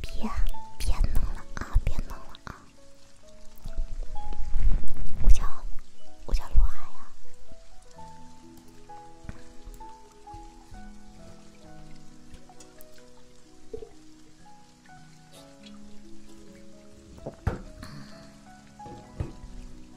别别弄了啊！别弄了啊！我叫我叫罗海呀。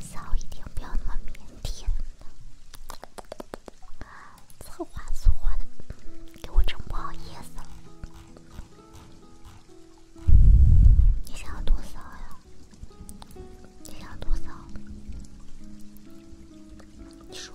扫一点，不要那么腼腆。策划策划的，给我整不好意思了。你想要多少呀？你想要多少？你说。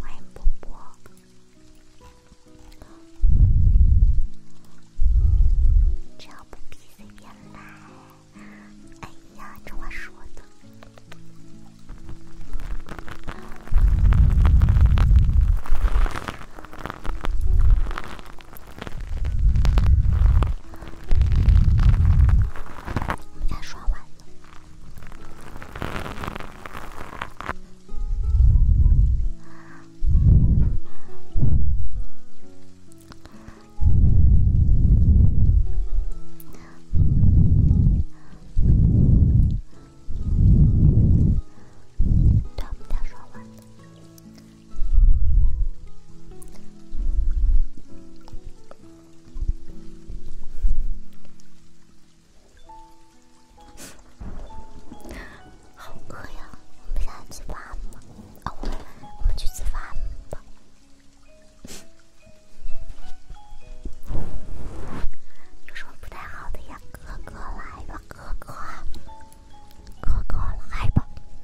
欢迎波波，只要不逼随便来。哎呀，这话说的。我们家刷碗呢。对，我刷碗呢。好饿呀，我们现在吃饭吧。啊，我我们去吃饭吧。有什么不太好的呀？哥哥来吧，哥哥，哥哥来吧。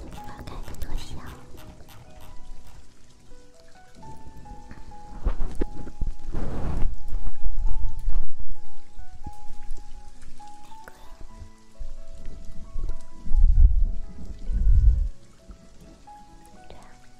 这开得多香！那个，对啊。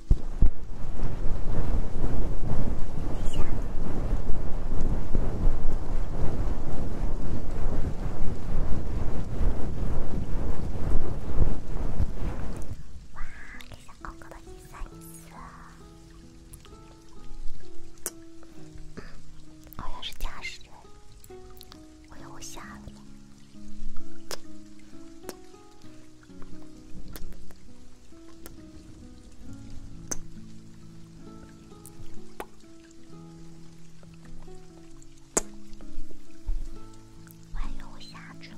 哇，这下高小哥哥真帅，色！好像是驾驶员，我以为我瞎了我还以为我下去了。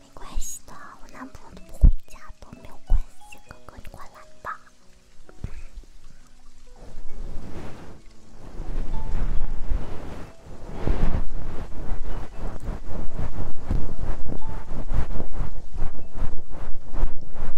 没关系的，我男朋友都不回家，都没有关系。哥哥，你快来吧。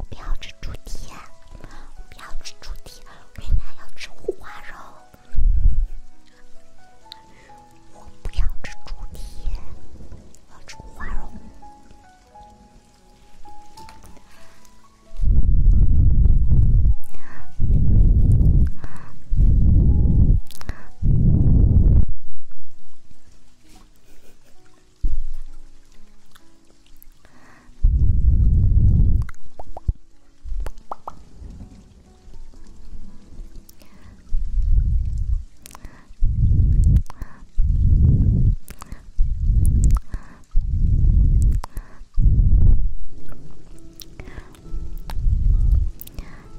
不要吃猪蹄，不要吃猪蹄，原来要吃五花肉。我不要吃猪蹄，我要吃花蓉。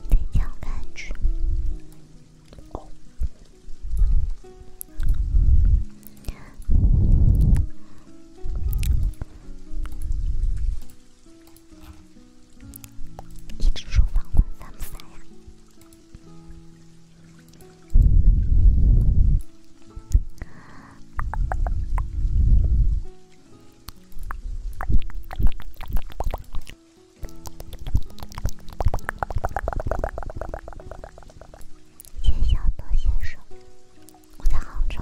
再讲两句。一直说反光，烦不烦呀？谢小德先生，我在杭州。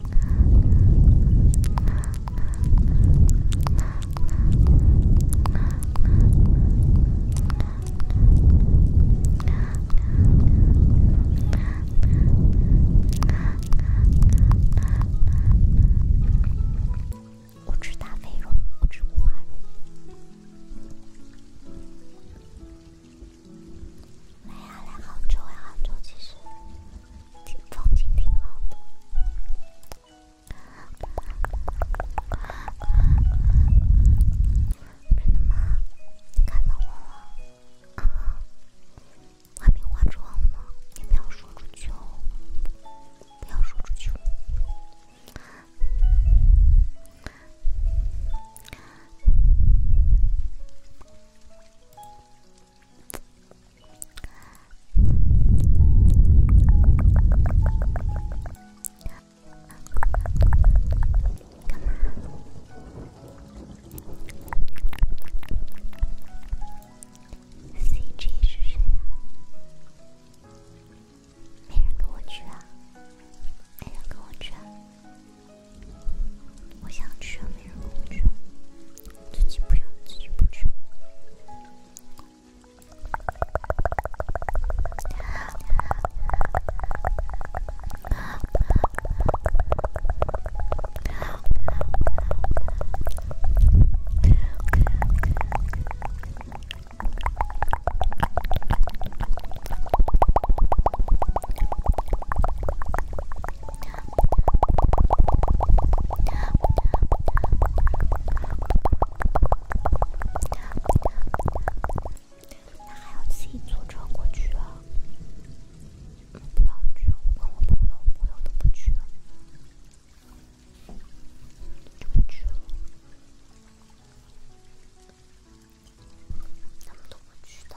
我吃大肥肉，我吃五花肉。来呀，来杭州呀，杭州其实。风景挺好的，真的吗？你看到我了啊？还没化妆呢，你不要说出去哦，不要说出去。CG 是谁啊？没人跟我去啊！没人跟我去啊！我想去啊，没人跟我去。自己不要，自己不去。那还要自己坐车过去啊？不想去，我跟我朋友、朋友都不去，就不去了。他们都不去的。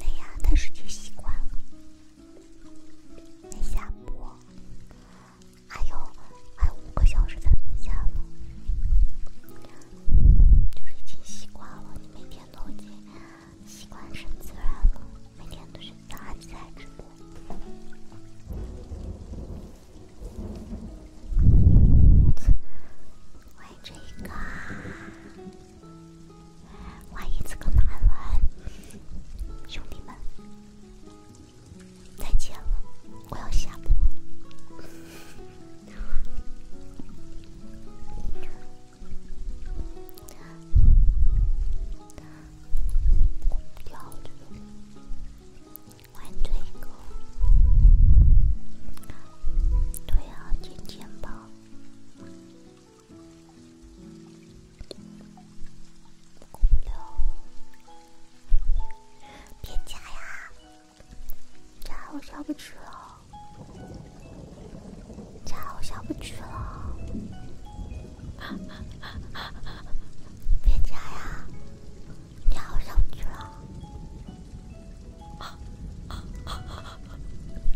哎呀，但是就习惯了。没下播，还有还有五个小时才能下呢。就是已经习惯了，你每天都已经习惯成自然了，每天都是早上起直播。欢迎这个，欢迎这个男文，兄弟们，再见了，我要下播。跳着，玩这个，对啊，捡钱包，过不了，别加呀。加我下不去了，加我下不去了，别加呀！加我下不去了，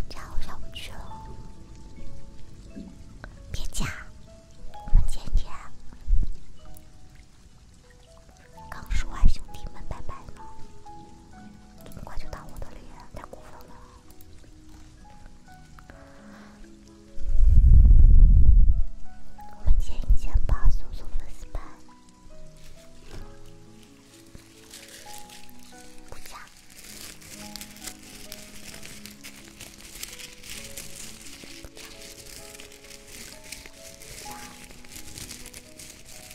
加我下不去了，别加，我们今天。刚说完兄弟们拜拜呢，这么快就打我的脸，太过分了！我们见一见吧，苏苏粉丝们，不讲，不讲，不讲。哎呀，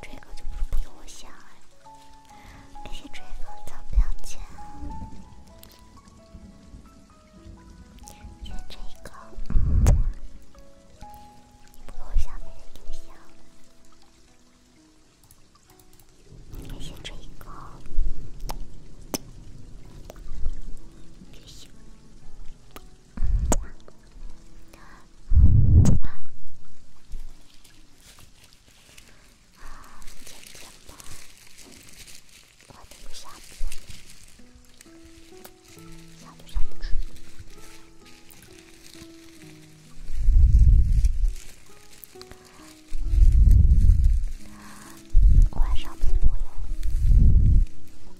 这个就不不用我想了。感谢这个草标签。先吃一个，你不给我下面的邮箱，先吃一个，别笑。啊，甜甜包。我还没有下播呢，下都下不晚上播哟，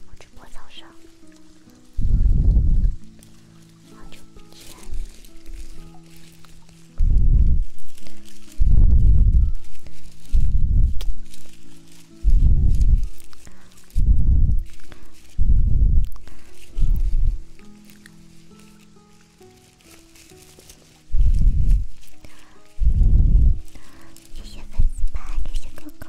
我只播早上。那就先。小哥哥，小哥哥。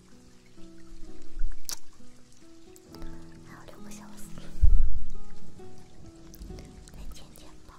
还有六个小时，再见见吧。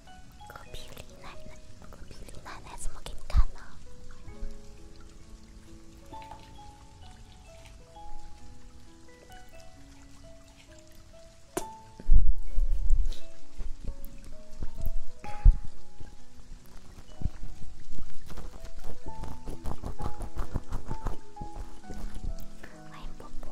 隔壁李奶奶，隔壁李奶奶怎么给你看呢？欢迎伯伯。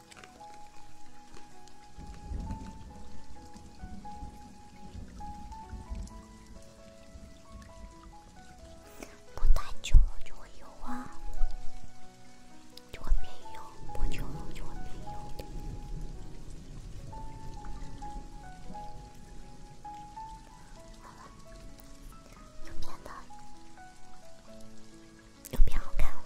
不太久了就会油啊，就会变油。不久了就会变油。好了，又变得又变好看了。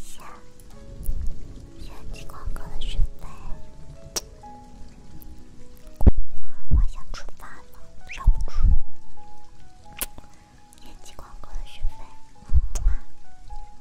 下下期广告的学费，我想吃饭了，要不吃？下 期广告的学费。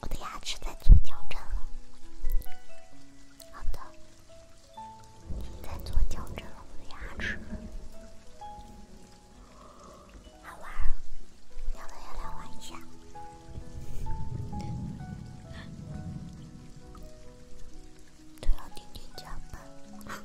我的牙齿在做矫正了，好的，已经在做矫正了。我的牙齿好玩，要不要来玩一下？都要天天加班。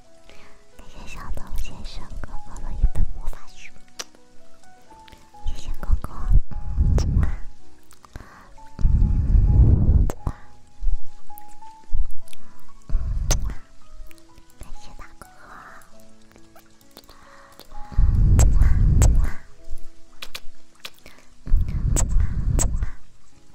谢谢小动先生哥哥的一本魔法书，谢谢哥哥，感谢大哥。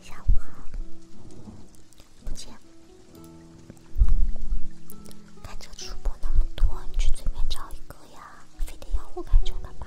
下午好，不见。开车主播那么多，你去对面找一个呀，非得要我开车的吗？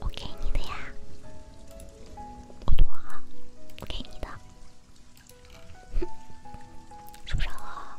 我给你的呀，我多好，我给你的，受伤了啊。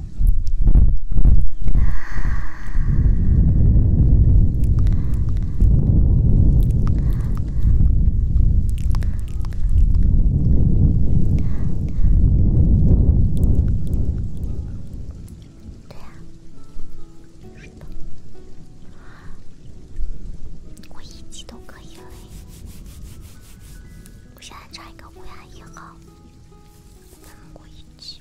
对呀，是的，我一级都可以了。我现在唱一个《乌鸦一号》，咱们过一级。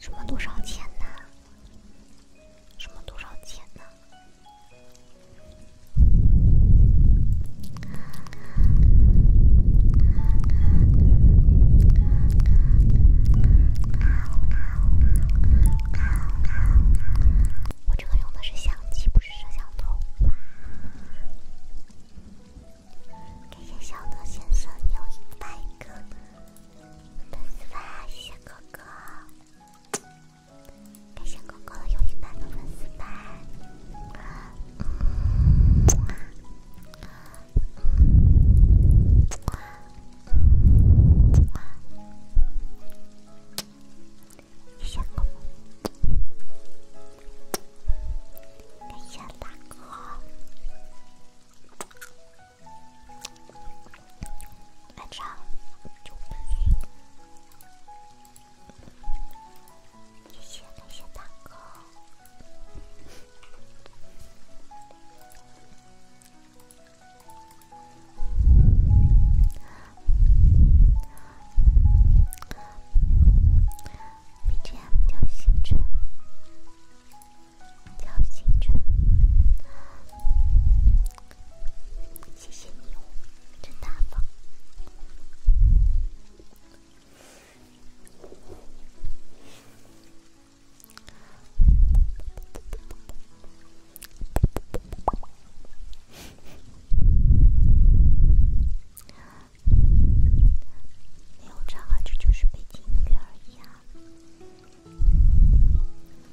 什么多少钱呢？什么多少钱呢？我这个用的是相机，不是摄像头。感谢小德先生有一百个粉丝粉，谢谢哥哥。感谢哥哥有一百个粉丝粉。谢谢哥，感谢大哥，晚上九点，谢谢，感谢大哥。BGM 叫《星辰》，叫《星辰》，谢谢你哦，真大方。没有唱啊，这就是背景音乐而已啊，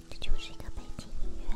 这就是一个背景音乐。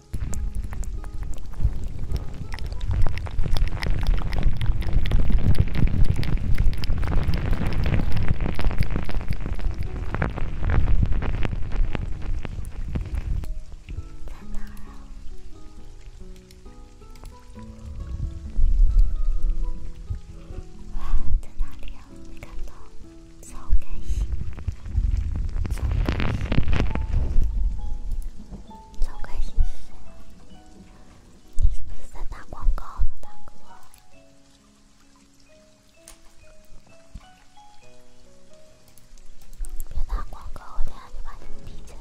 在哪儿啊？哇，在哪里呀？没看到，走开。赵开心是谁呀？你是不是在打广告呢，大哥？别打广告，我得把你闭着。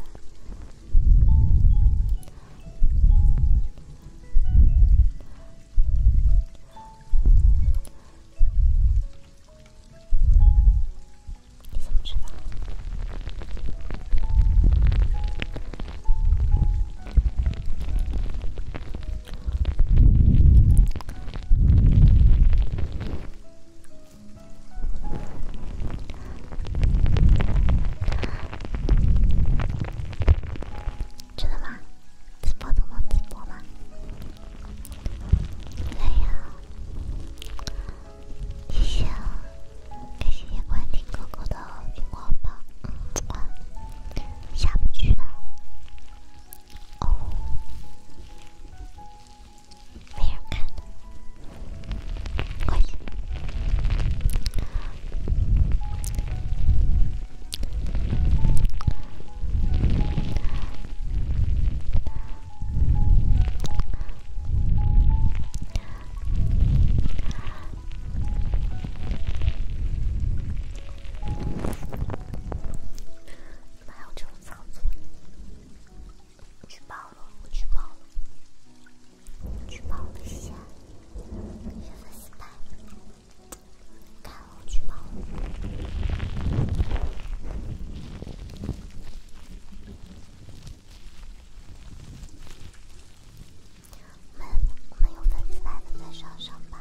你怎么知道？真的吗？直播都能直播吗？累呀，谢谢，感谢关婷哥哥的苹果包，嗯，下不去了，哦，没人看的，可以。怎么还有这种操作？举报了，我举报了，举报一下，一些粉丝团，看我举报了。我们我们有粉丝来了，在上上班。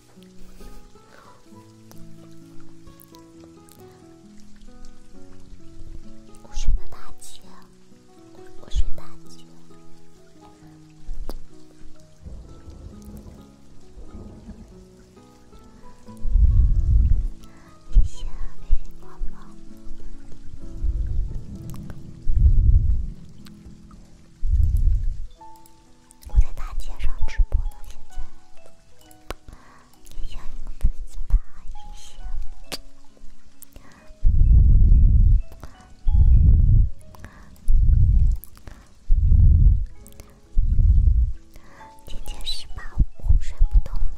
我睡的大姐，我睡大姐。你想被光吗？我在大街上直播呢，现在。你想一个粉丝吧，一些。今天十八，我睡不着了。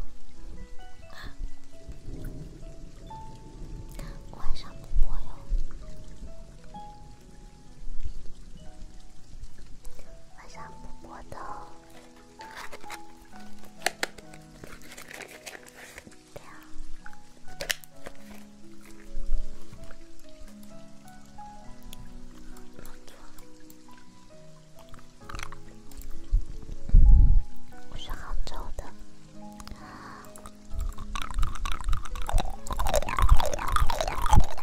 晚上不播哟。晚上不播头。我是杭州的。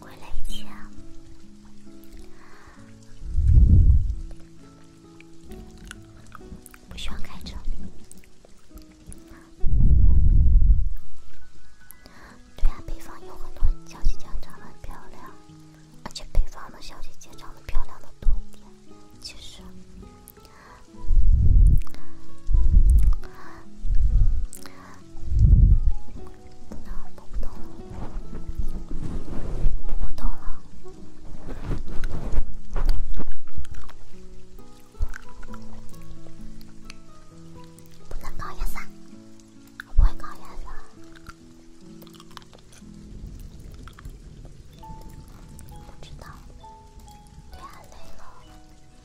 我来接。不喜欢开车。对啊，北方有很多小姐姐长得很漂亮，而且北方的小姐姐长得漂亮的多一点，其实。不能，动不动了，动不动了，不能搞颜色，我不会搞颜色，不知道，对啊，累了。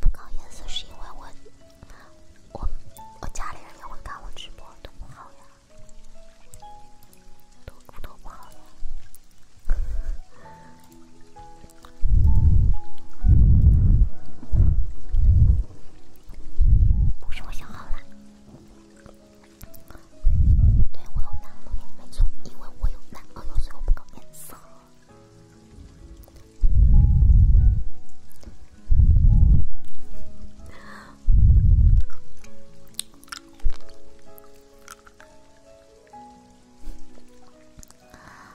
不搞颜色是因为我我我家里人也会看我直播，多不好呀，都都不好呀。不是我想好了，对我有男朋友，没错，因为我有男朋友，所以我不搞颜色。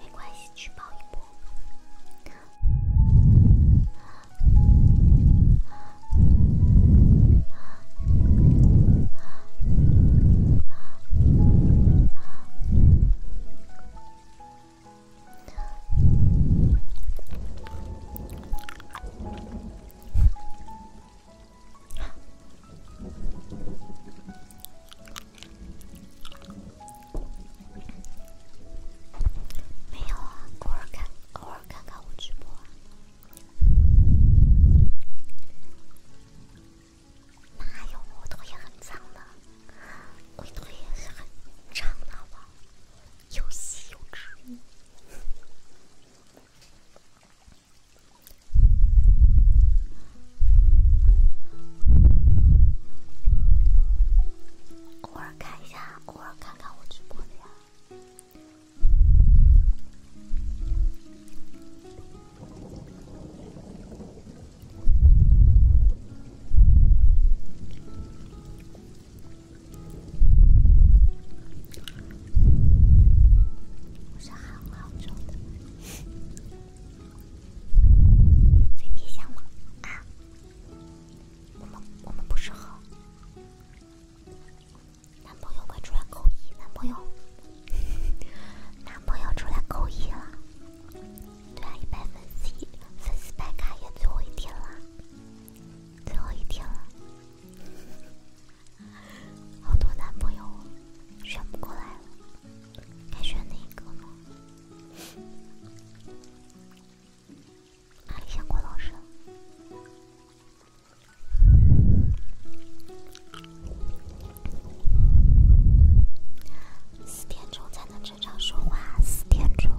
没关系，去抱一波。没有啊，偶尔看，偶尔看看我直播啊。哪有，我腿也很长的，我腿也是很长的吧，又细又直。偶尔看一下，偶尔看看我直播的呀。我是韩老周的。嘴别想了啊！我们我们不适合。男朋友快出来扣一！男朋友，男朋友出来扣一了。对啊，一百粉丝，粉丝白卡也最后一天了，最后一天了，好多男朋友选不过来了。该选哪一个呢？阿里向郭老师，四点钟才能正常说话，四点钟，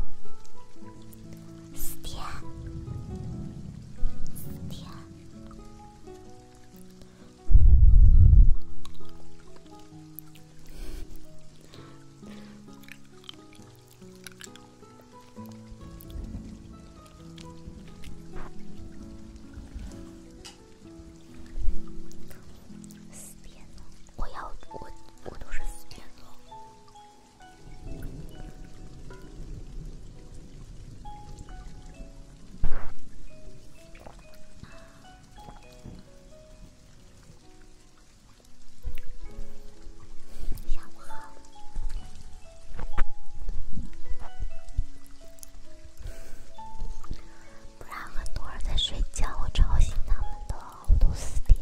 四点，四点。四点呢？我要我我都是四点喽。下午好，不然很多人在睡觉，我吵醒他们的。我都四点，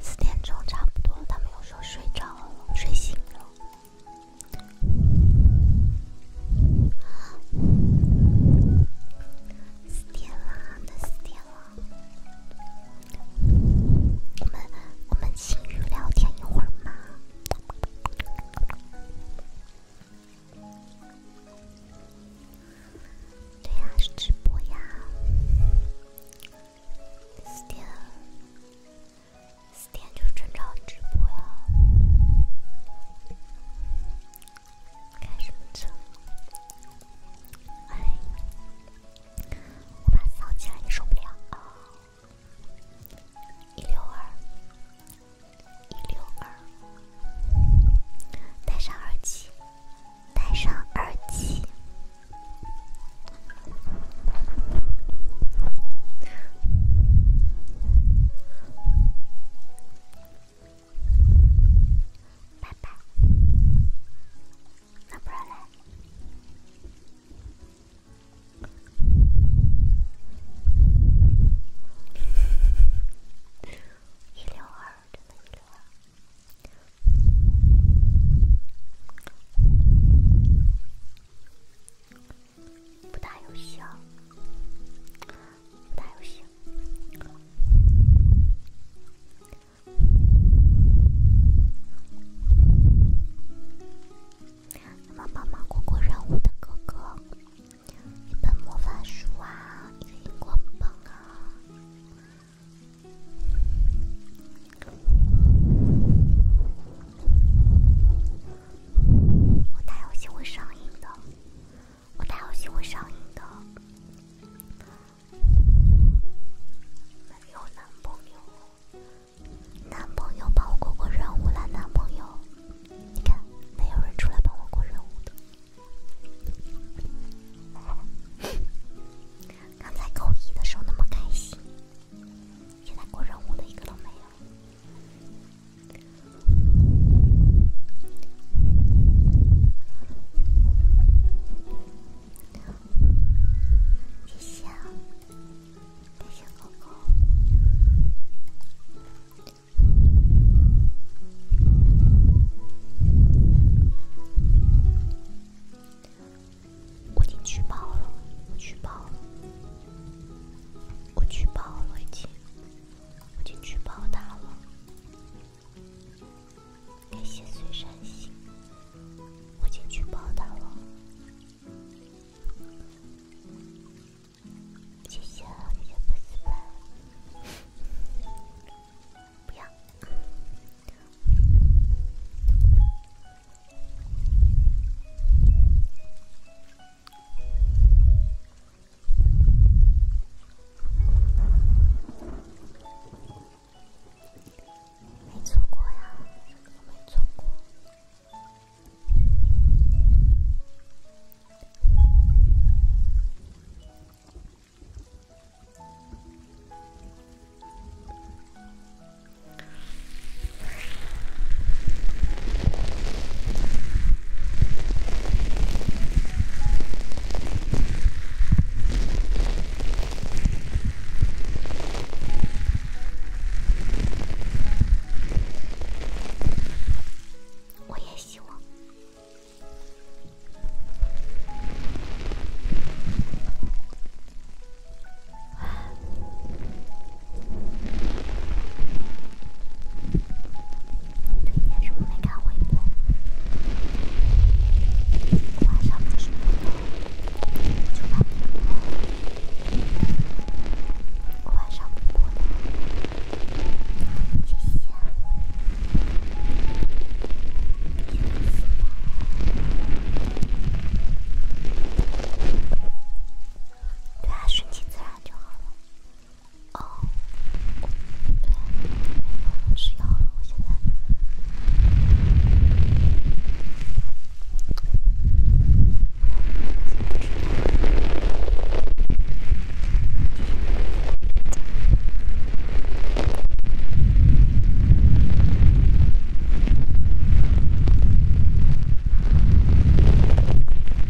四点钟差不多，他们又说睡着了，睡醒了。四点了，都四点了。我们我们轻语聊天一会儿吗？对呀，是直播呀。四点，四点就是正常直播呀。开什么车？哎，我怕吵起来你受不了啊！一六二，一六二，戴上耳机，戴上耳机。拜拜。那不然嘞，一六二的六二。不打游戏打游戏。那么帮忙过过任务的哥哥，一本魔法书啊，一个荧光棒啊。我打游戏会上瘾的。我打游戏会上瘾的。没有男朋友，男朋友帮我过过任务了。男朋友，你看，没有人出来帮我过任务的。刚才扣一的时候那么开心，现在过任务的一个都没有。谢谢，谢谢狗狗。我已经举报了，我举报了，我举报了，已经。我已经举报他了，感谢碎山心。我已经举报他了，谢谢，谢不撕吧，不要。没错过呀，没错过。我也希望。天什么没看回播？晚上不就晚上不对啊，顺其自然就好了。哦，对没有了，吃药了，我现在。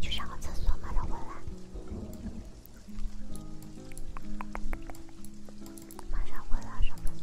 去上个厕所，马上回来。马上回来上厕所。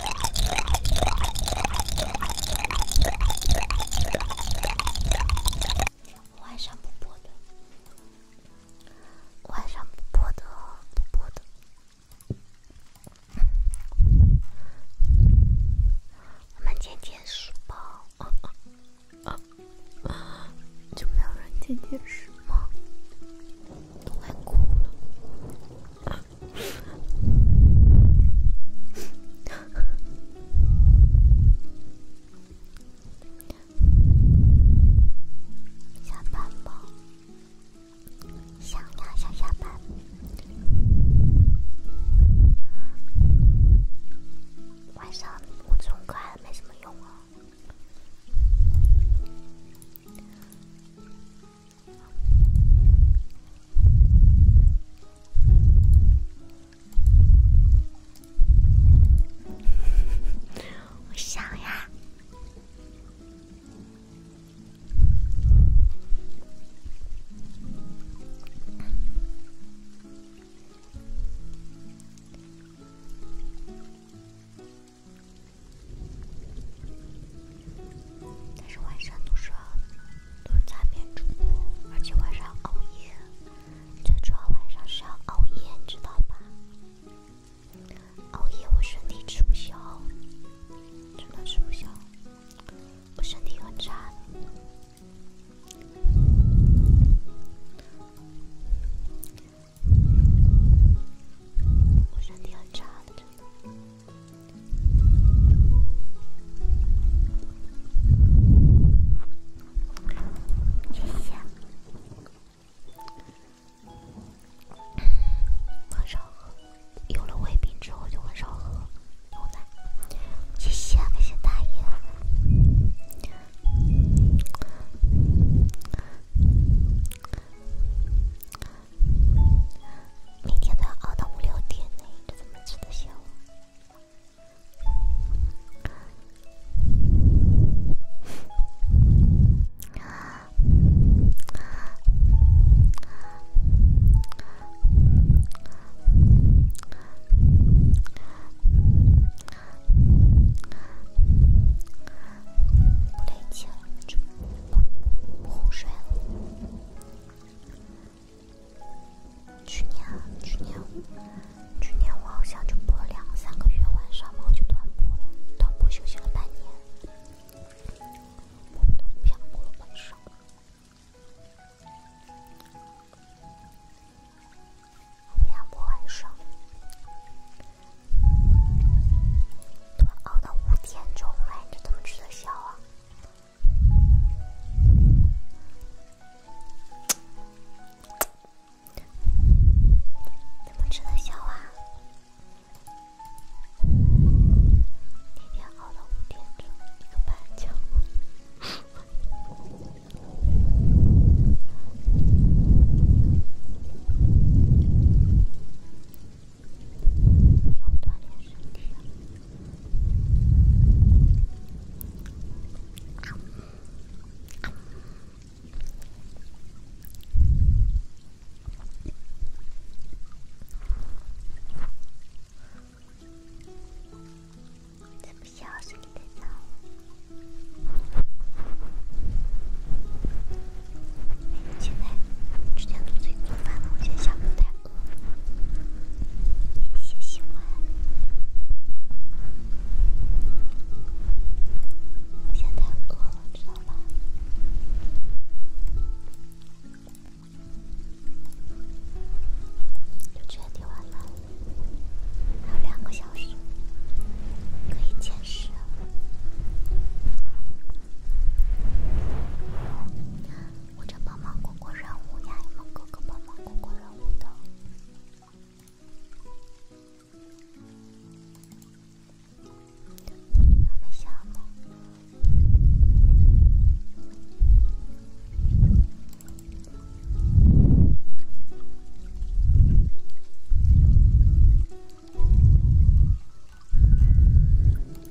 晚上不播的，晚上不播的，不播的。我们剪电视吧？就没有人剪电视吗？都快哭了。下班吧，想呀想下班。晚上我这种歌还没什么用啊。我想呀。但是晚上都是都是擦边主播，而且晚上熬夜，最主要晚上是要熬夜，你知道吧？熬夜我身体吃不消，真的吃不消，我身体很差，我身体很差，的，真的。谢谢。很少喝，有了胃病之后就很少喝牛奶。谢谢，谢谢大爷。每天都要熬到五六点呢，这怎么吃得消啊？累气了，睡了。去年，去年，去年我好像就播了两三个月晚上，嘛，我就断播了，断播休息了半年，我们都不想播晚上，我不想播晚上，都熬到五点钟了，你这怎么吃得消啊？怎么吃得消啊？天天熬到五点钟，一个班交。不要锻炼身体现在之前做最做饭呢，我先下播台。谢谢喜欢，我现在饿了，知道吧？就今天晚上，还有两个小时可以坚持。我正帮忙过过任务呀，有没哥哥帮忙过过任务的？还没下吗？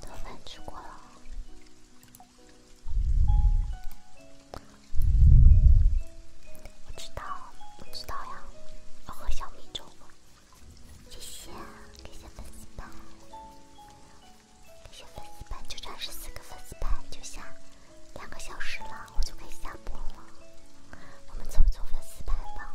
早饭吃过了，知道，不知道呀，我喝小米粥。谢谢，感谢粉丝感谢粉丝就差十四个粉丝牌就下。两个小时了，我就可以下播了。我们凑一粉丝牌吧。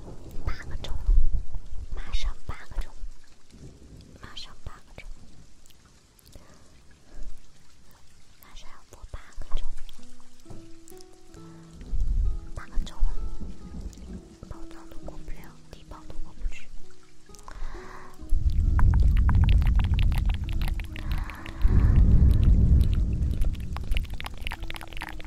八个钟，马上八个钟，马上八个钟，马上要播八个钟，八个钟，包装都过不了，底包都过不去。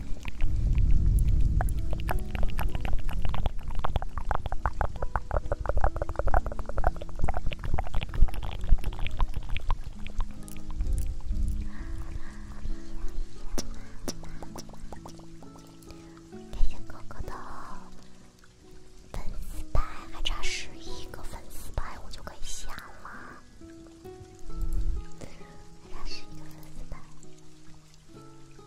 开心哥哥的粉丝牌还差十一个粉丝牌，我就可以下了。还差十一个粉丝牌。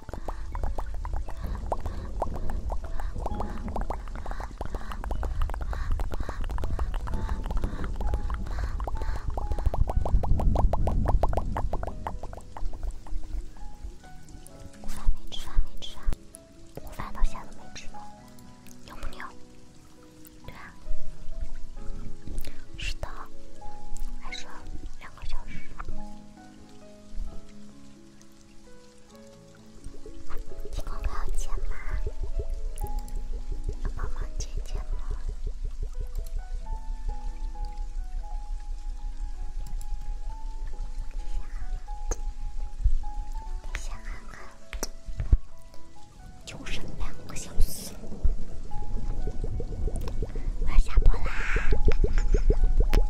我饭没吃，饭没吃，我饭到现在都没吃呢，牛不牛？对啊，是的，还剩两个小时。激光要剪吗？要帮忙剪剪吗？底下看看看，就剩两个小时，我要下播啦。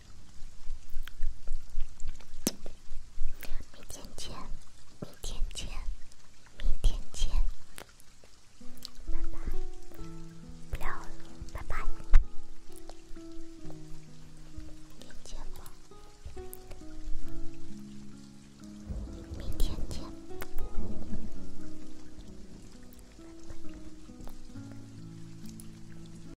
明天见，明天见，明天见，拜拜，不聊了，拜拜，明天见，明天见。